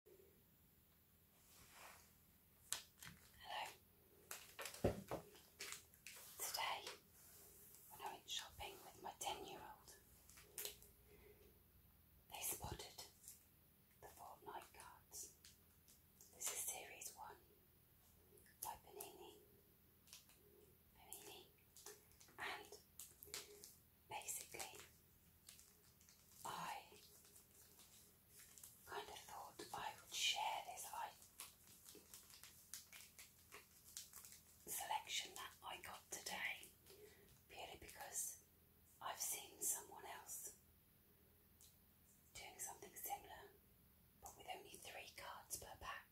Hello. Today, when I went shopping with my 10 year old, they spotted the Fortnite cards. This is series one by Panini. Panini. And basically, I kind of thought I would share this I selection that I got today purely because I've seen someone else doing something similar but with only three cards per pack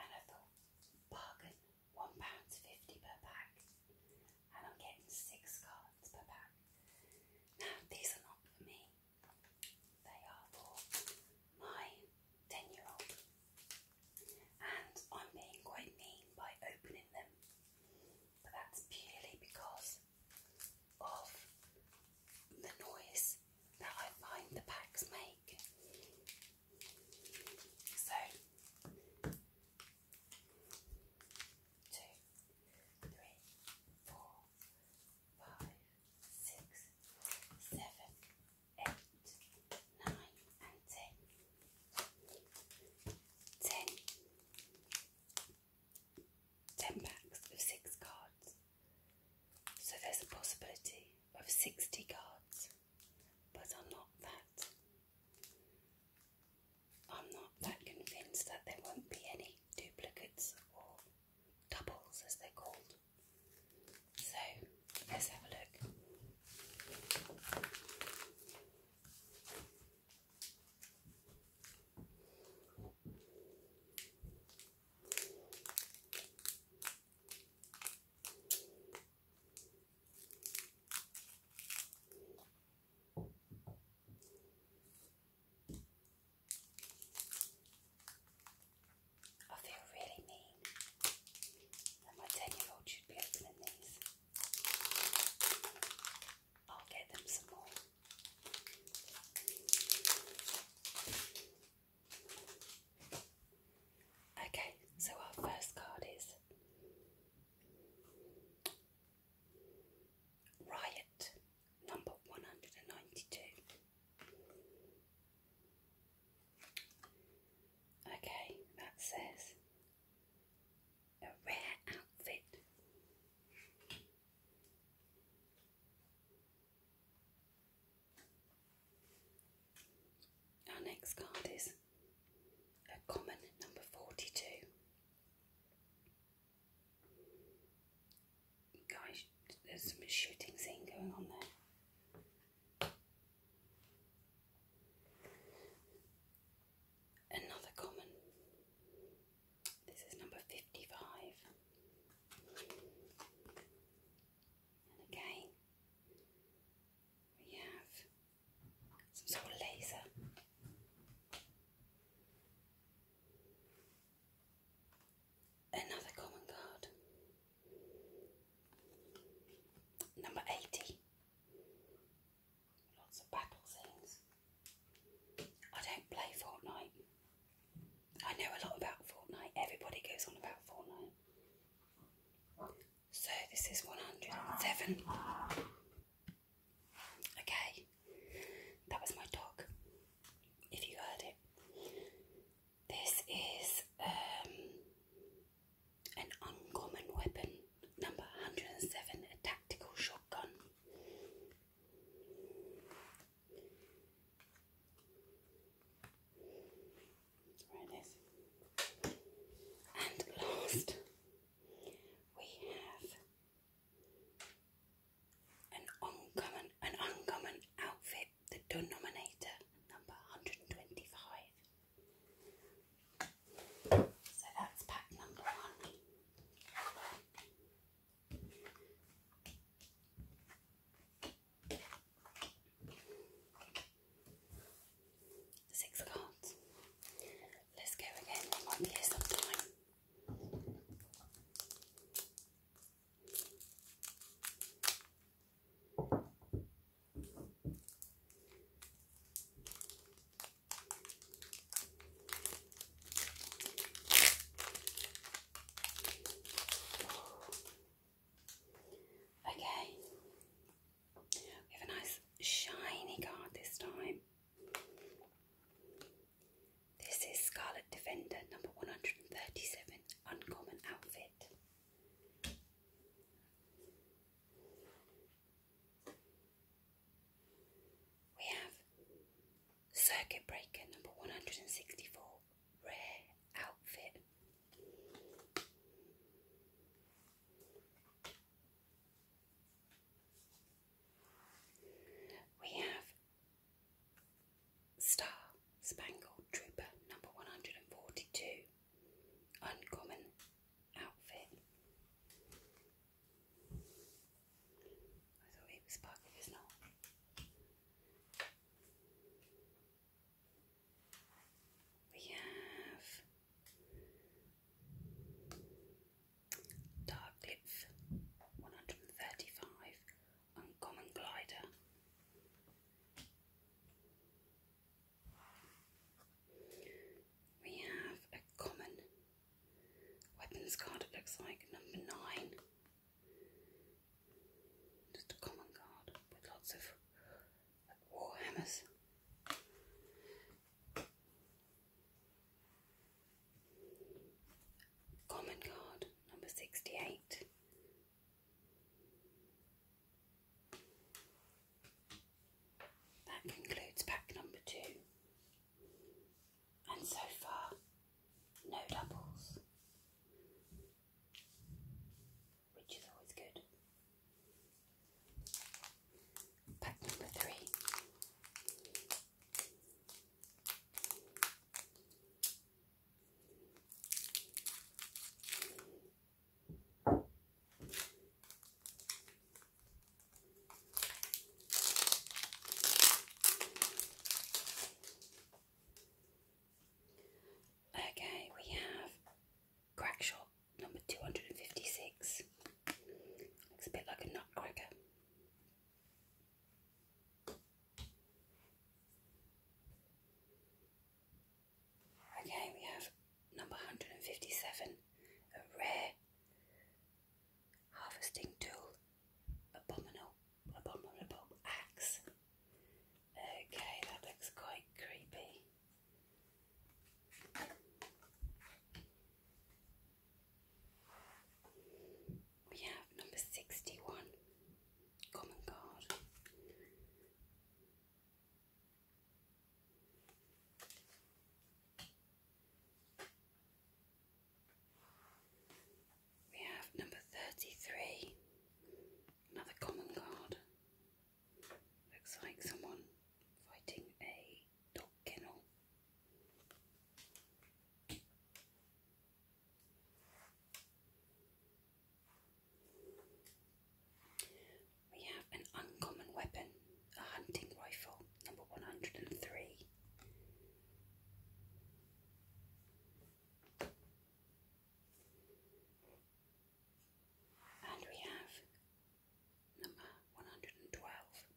and I bargain one pound fifty per pack, and I'm getting six cards per pack. Now, these are not for me, they are for my 10 year old, and I'm being quite mean by opening them, but that's purely because of the noise that I find the packs make. So, two, three, four, five, six, seven, eight, nine, and ten. Ten. Ten packs of six cards. So there's a possibility of 60 cards, but I'm not that. I'm not that convinced that there won't be any duplicates or doubles as they're called. So let's have a look. I feel really mean that my 10 year old should be opening these. I'll get them some more. Okay, so our first card is Riot number 192. Okay, that says a rare outfit. Our next card is a common number 42. Guys, there's some shooting scene going on there. Another common. This is number 55. And again, we have some sort of laser. Another common card. Number 80. Lots of battle scenes. I don't play Fortnite. I know a lot about Fortnite. Everybody goes on about Fortnite. So this is 107. Okay, that was my dog, if you heard it. This is um, an uncommon weapon, number 107, a tactical shotgun where it is. And last, we have an uncommon, an uncommon outfit, the denominator number 125. So that's pack number one. Six cards. Let's go again. We might sometime. Okay, we have a nice shiny card this time. This is Scarlet Defender number 137, Uncommon Outfit. We have Circuit Breaker number 164, Rare Outfit. We have Star Spangled Trooper number 142, uncommon outfit. I thought it was Parker, it's not. We have Dark Glyph 135 Uncommon Glider. We have a common weapons card, it looks like, number nine. Just a common card with lots of war Common card number 68. That concludes pack number two. And so far, no doubles which is always good. Pack number three. Okay, we have crack shot number 256. Looks a bit like a nutcracker. Okay, we have number 157, a rare harvesting tool, abominable, abominable axe. Okay, that looks quite creepy. We have number 61, Common Guard. We have number 33, another Common Guard. Looks like someone fighting a dog kennel. We have an uncommon weapon, a hunting rifle, number 103. And we have number 112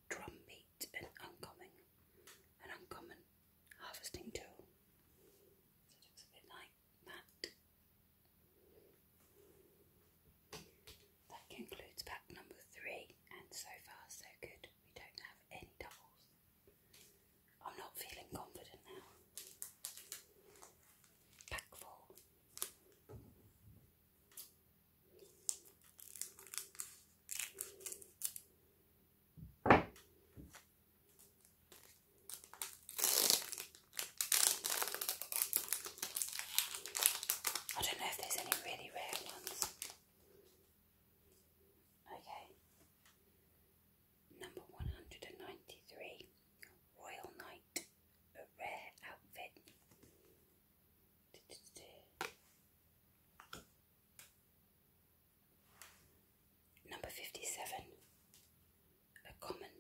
drumbeat and uncommon, an uncommon harvesting tool. So it looks a bit like that. That concludes pack number three, and so far so good. We don't have any doubles. I'm not feeling confident now. Back four. I don't know if there's any really rare ones. Okay. Number 193 Royal Knight, a rare outfit. Number 57 A common.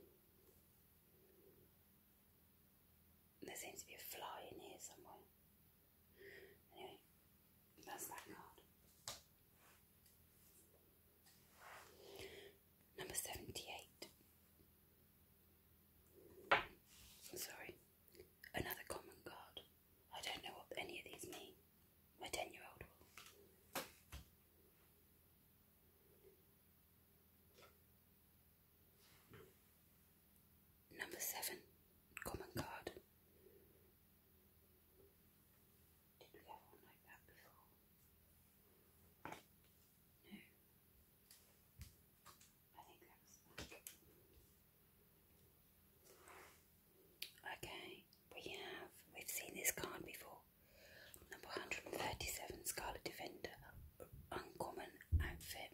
There seems to be a fly in here somewhere. Anyway, that's that card. Number 78. Sorry. Another common card. I don't know what any of these mean. My 10 year old will. Number 7. Common card. Did we have one like that before? No. I think that was that. Okay, we have, we've seen this card before. Number 137 Scarlet Defender, uncommon outfit.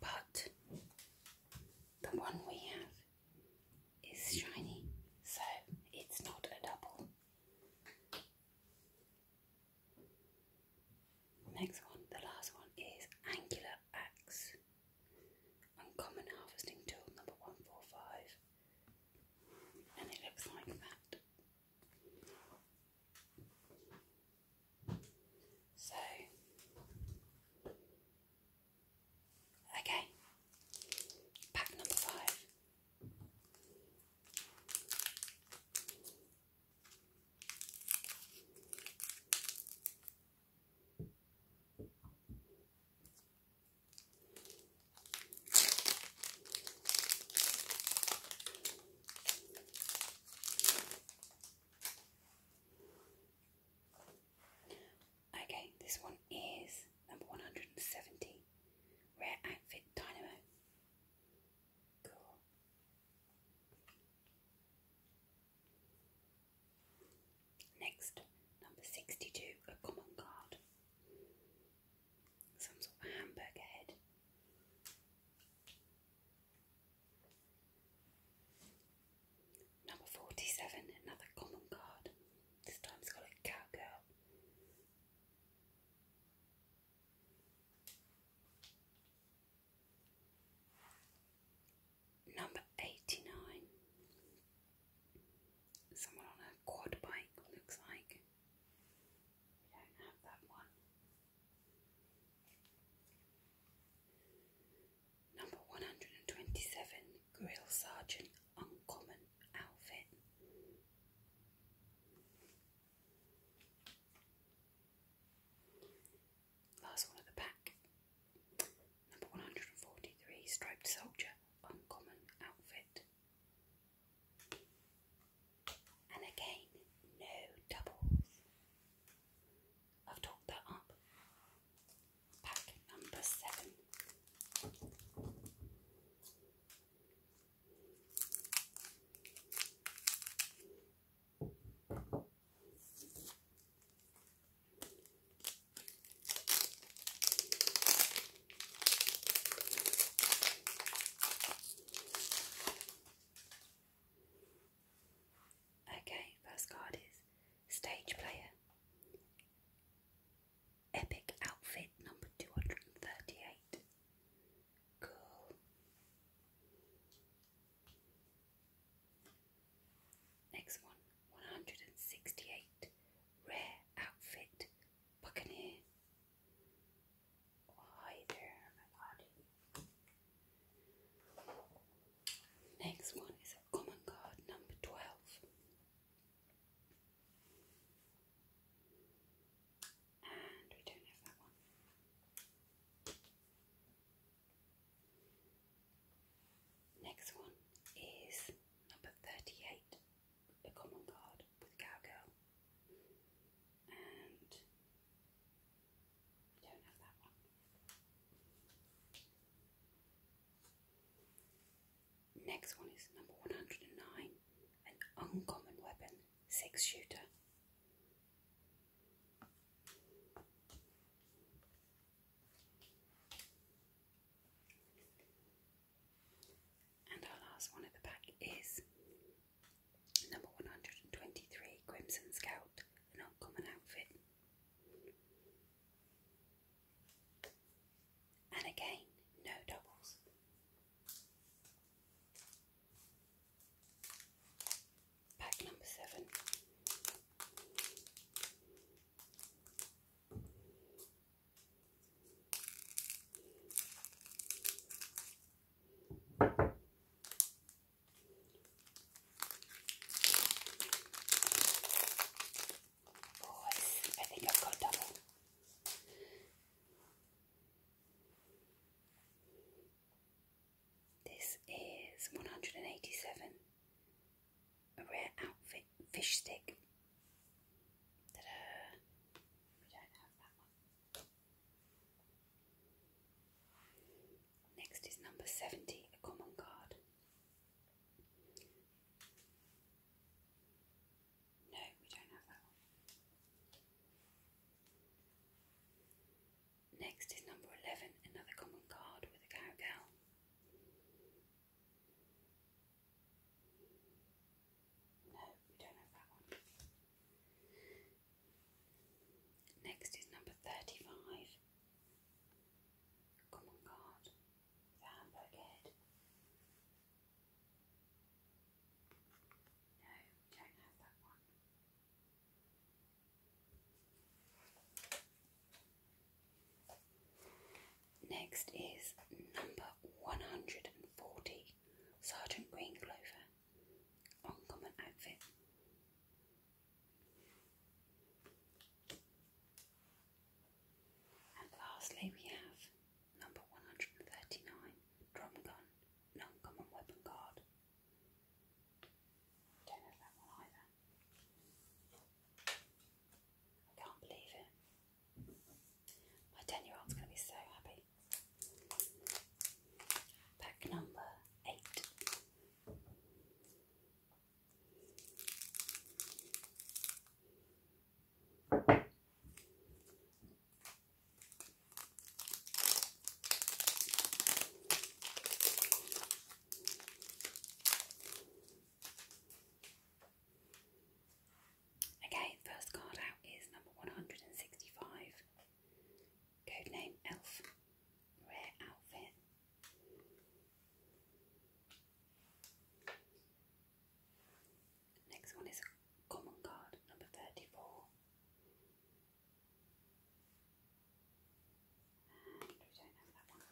But the one we have is shiny, so it's not a double. Next one, the last one is Angular Axe, Uncommon Harvesting Tool number 145, and it looks like that. So Okay, pack number five. Okay, this one is number 170 Rare Outfit Dynamo. Cool. Next, number 62, a common card. Some sort of hamburger head. Number 47, another common card. This time it's got a cowgirl. Number 89. Someone on a quad bike looks like. We don't have that one. Number 127. Grill Sergeant Uncommon outfit. Last one of the pack. Number 143 Striped Soldier Uncommon outfit. And again, no doubles. I've talked that up pack number seven. Okay, first card is Stage Player. Epic outfit number 238. Cool. Next one 168. Rare outfit. Buccaneer. hi there, my body. Next one is a common card number 12. And we don't have that one. Next one is number 38, the common card with Cowgirl. And we don't have that one. Next one is number 109 an uncommon weapon, six shooter. And our last one at the back is number 123 Crimson Scout, an uncommon outfit. And again, no doubles. Pack number seven boys. I think I've got double. This is 187. A rare outfit fish stick. We don't have that one. Next is number 70, a common card. No, we don't have that one. Next is number 11, another common card with a cowgirl. No, we don't have that one. Next is number 35, Come on, The hamburg head. No, don't have that one. Next is number 140, Sergeant Green Clover. Uncommon outfit. And lastly, we have number 139 Drum Gun Non Common Weapon Guard. Don't have that one either. I can't believe it. My 10 year old's going to be so happy. Pack number 8. Okay, first card out is number 165. Codename Elf. Rare outfit. Next one is common card number 34. And we don't have that one.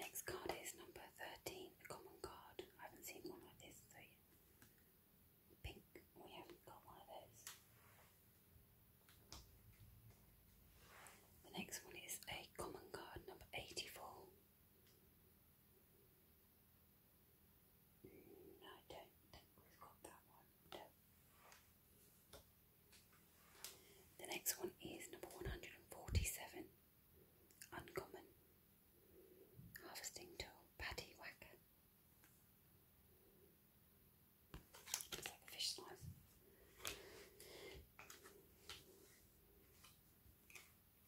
Next card is number 13, a common card. I haven't seen one like this, so pink. We haven't got one of those. The next one is a common card number 84. Mm, I don't think we've got that one. No. The next one is number 147. Uncommon. Harvesting tool. Paddy Whacker.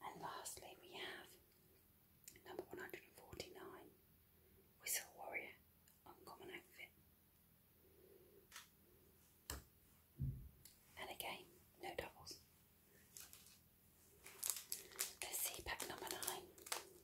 And lastly, we have number 149 Whistle Warrior Uncommon Outfit. And again, no doubles. Let's see pack number 9.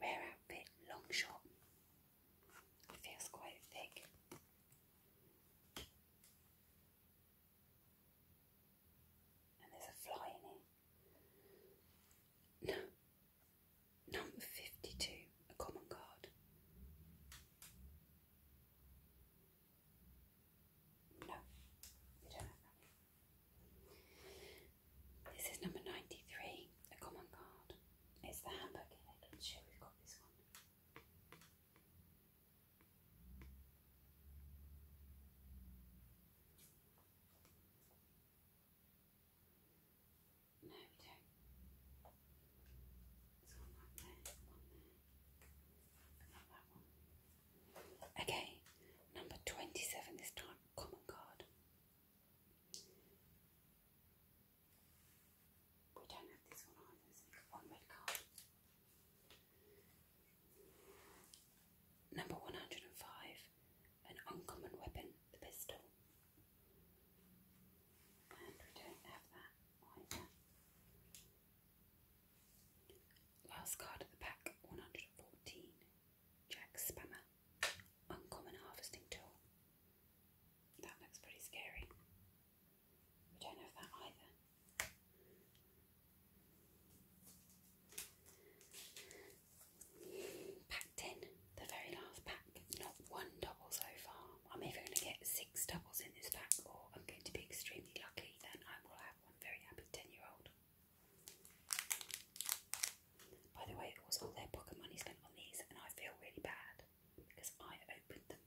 Rare outfit, long shot. It feels quite thick. And there's a fly in it. No. Number 52, a common card. No, you don't have that. This is number 93, a common card. It's the hamburger head. Let's show we've got this one. No, don't. Okay, number 27 this time common card. We don't have this one either, one red card. Number 105 An uncommon weapon, the pistol. And we don't have that either. Last card at the back 114 Jack Spammer. Uncommon harvesting tool. That looks pretty scary. We don't have that either. Pack 10, the very last pack. Not one double so far. I'm either going to get six doubles in this pack or I'm going to be extremely lucky, then I will have one very happy 10 year old. By the way, all their pocket money spent on these, and I feel really bad because I opened them.